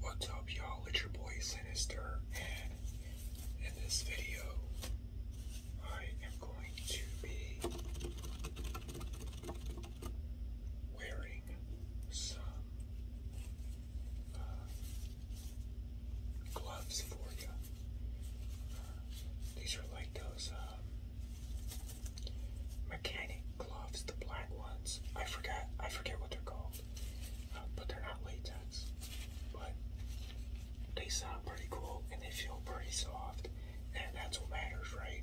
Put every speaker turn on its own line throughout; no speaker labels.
What's up y'all, it's your boy Sinister, and in this video, I am going to be wearing some uh, gloves for you. these are like those uh, mechanic gloves, the black ones. I forget. I forget what they're called, uh, but they're not latex. But they sound pretty cool and they feel pretty soft, and that's what matters, right?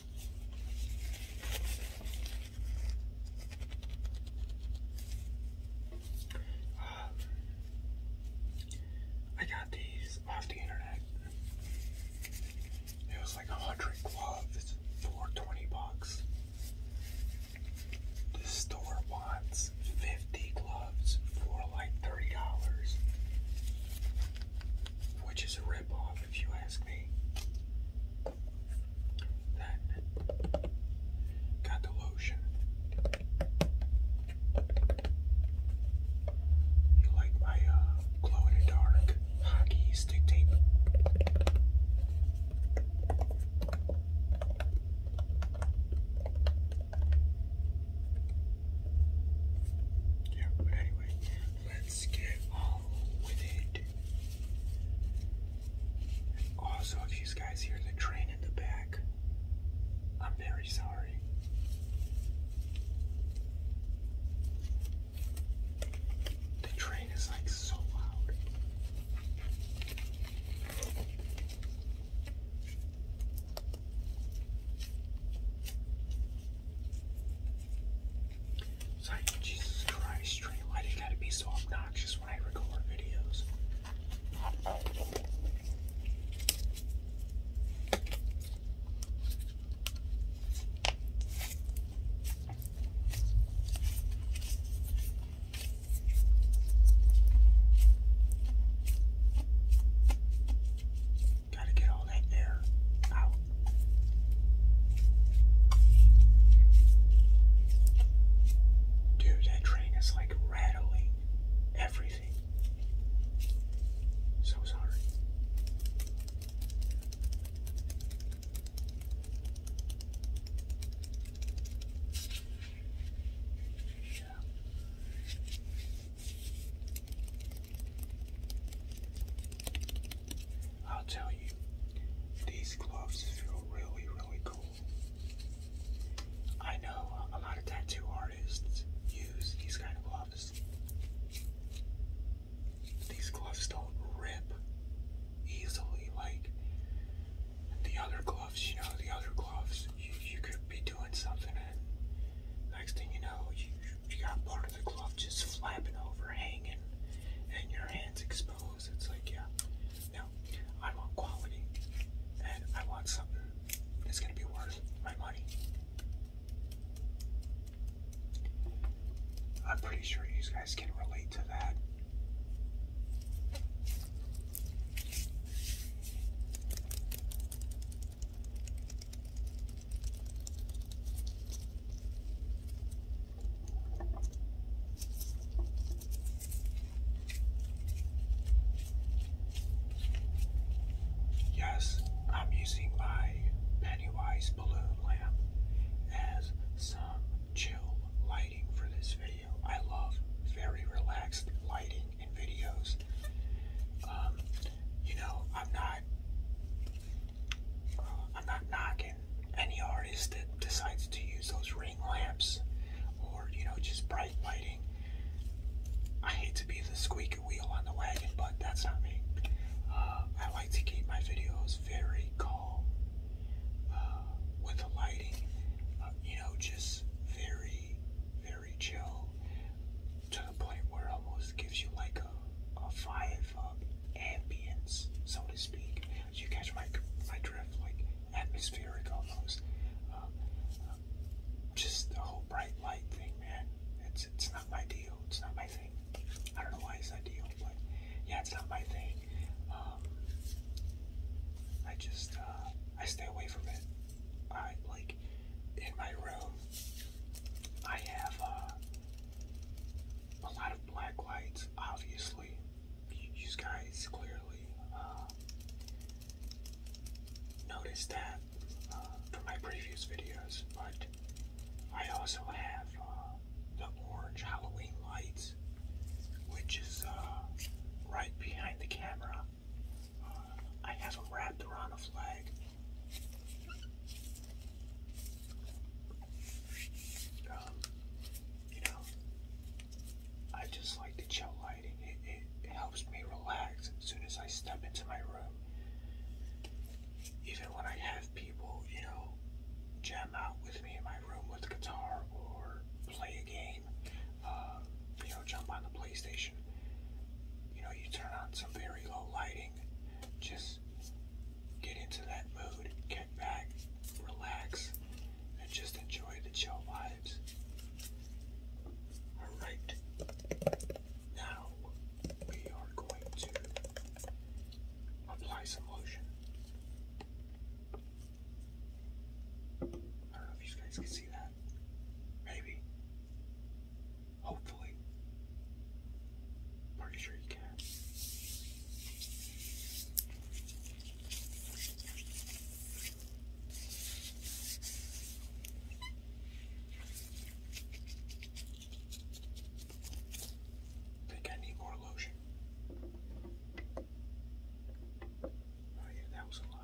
Uh, I got these off the internet. It was like a hundred gloves for 20 bucks. This store wants 50 gloves for like $30, which is a ripoff if you ask me. Then got the lotion. You like my uh, glow in the dark hockey stick tape? Yeah, but anyway, let's get on with it. Also, if you guys hear the train in the back, I'm very sorry. The train is like so loud. It's Jesus Christ, why do you gotta be so obnoxious when I record videos? Gotta get all that air out. Dude, that train is like rattling everything. So sorry. I'll tell you, these gloves feel really, really cool. I know a lot of tattoo artists use these kind of gloves. These gloves don't rip easily like the other gloves, you know, the other gloves. You, could be doing something and next thing you know, you you got part of the glove just flapping over, hanging, and your hands exposed. It's like, yeah. No, I want quality, and I want something that's gonna be worth my money. I'm pretty sure you guys can relate to that. Yes, I'm using my Pennywise balloon lamp as some chill lighting for this video. I love very relaxed lighting in videos. Um, you know, I'm not, uh, I'm not knocking any artist that decides to use those ring lamps or, you know, just bright lighting. I hate to be the squeaky wheel on the wagon, but that's not me. Uh, I like to keep my videos very calm uh, with the lighting, you know, just very, very chill to the point where it almost gives you like a, a five up so to speak. You catch my, my drift, like atmospheric almost. Um, just the whole bright light thing, man. It's, it's not my deal. It's not my thing. I don't know why it's ideal, but yeah, it's not my thing. Um, I just, uh, I stay away from it. I, like, in my room, I have uh, a lot of black lights, obviously. You guys clearly uh, noticed that uh, from my previous videos, but I also have the orange Halloween lights, which is right behind the camera. I have a wrap around a flag. Um, you know, I just like the chill lighting. It, it, helps me relax as soon as I step into my room. Even when I have people, you know, jam out with me in my room with guitar or play a game, uh, you know, jump on the PlayStation you know, you turn on some very low lighting, just get into that mood, get back, relax, and just enjoy the chill vibes. Alright, now we are going to apply some lotion. I don't know if you guys can see that. Maybe. Hopefully. Pretty sure you can. Think I need more lotion. Oh yeah, that was a lot.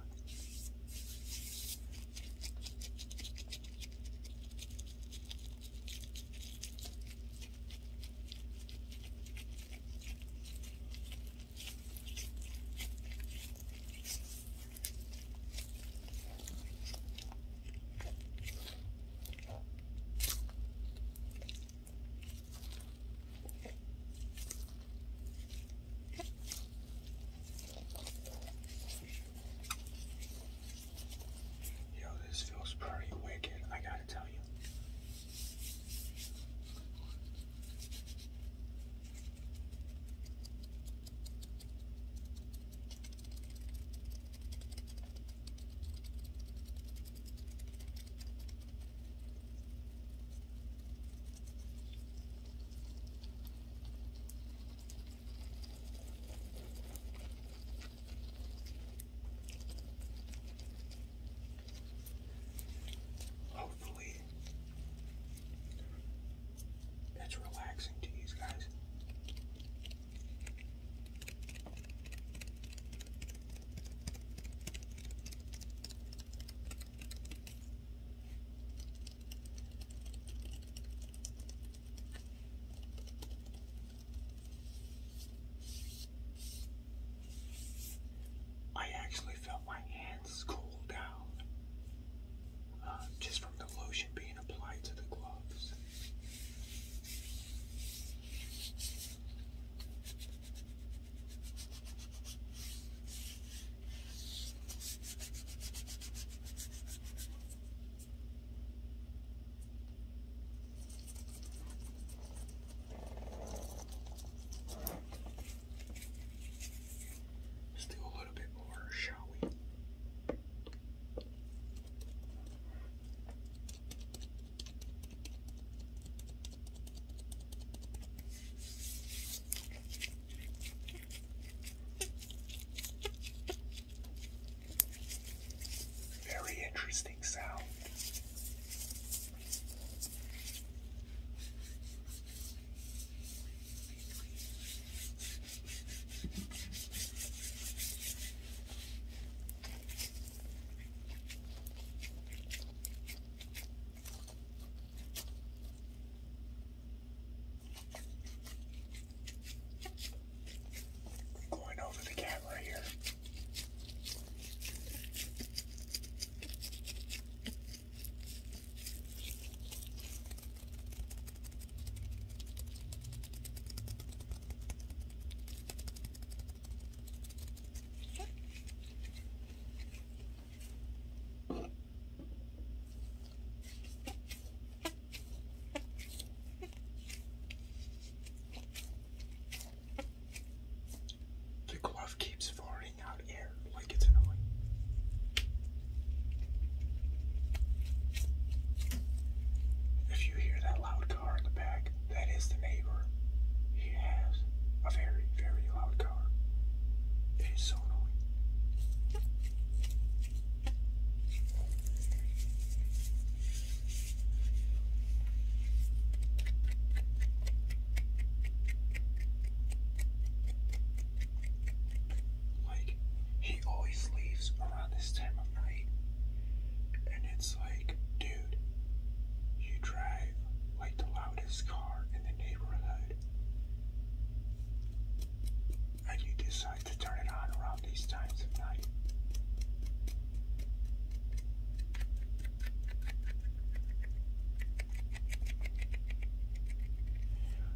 Yo, this feels pretty wicked, I gotta tell you. Hopefully, that's relaxing to these guys. I actually felt my hands cool down uh, just from the lotion being applied to the gloves let a little bit more, shall we? Very interesting sound. Going over the camera here. The glove keeps farting out air like it's annoying. If you hear that loud car in the back, that is the neighbor. He has a very, very loud car. It is so annoying. Like, he always leaves around this time of night, and it's like, dude, you drive like the loudest car in the neighborhood. And you decide to turn it on around these times of night.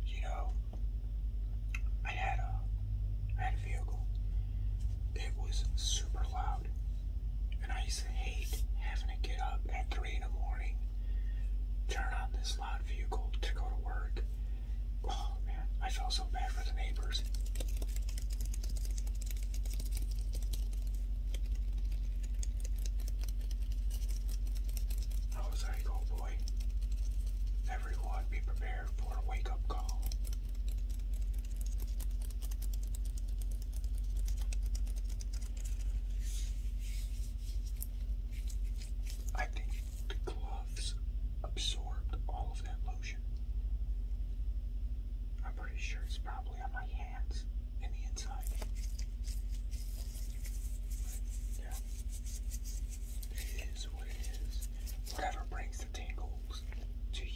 You know, I had a I had a vehicle. It was super loud. And I used to hate having to get up at 3 in the morning, turn on this loud vehicle to go to work. Oh man, I felt so bad for the neighbors. I was like, oh boy, everyone be prepared for a wake up call. I think the gloves absorbed all of that lotion. I'm pretty sure it's probably on my hands and the inside. yeah. It is what it is. Whatever brings the tingles to you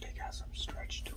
They got some stretch to them.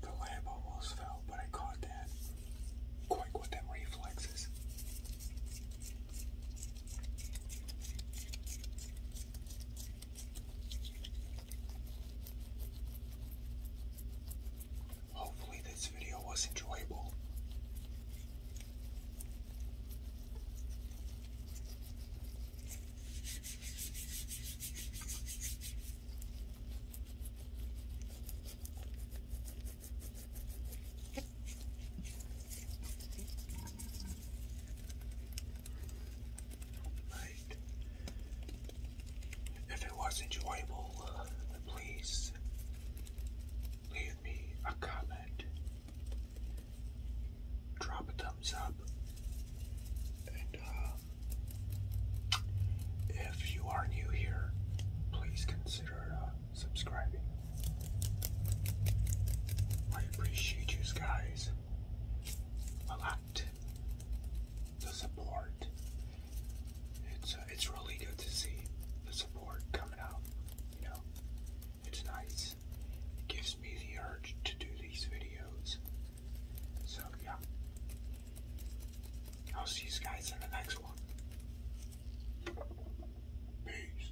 The lamp almost fell, but I caught that. Quick with them reflexes. Hopefully, this video was enjoyable. Right. If it was enjoyable, uh, please leave me a comment drop a thumbs up. And uh, if you are new here, please consider uh, subscribing. I appreciate you guys a lot. The support. It's uh, it's really good to see the support coming out. You know, it's nice. It gives me the urge to do these videos. So, yeah. I'll see you guys in the next one. Peace.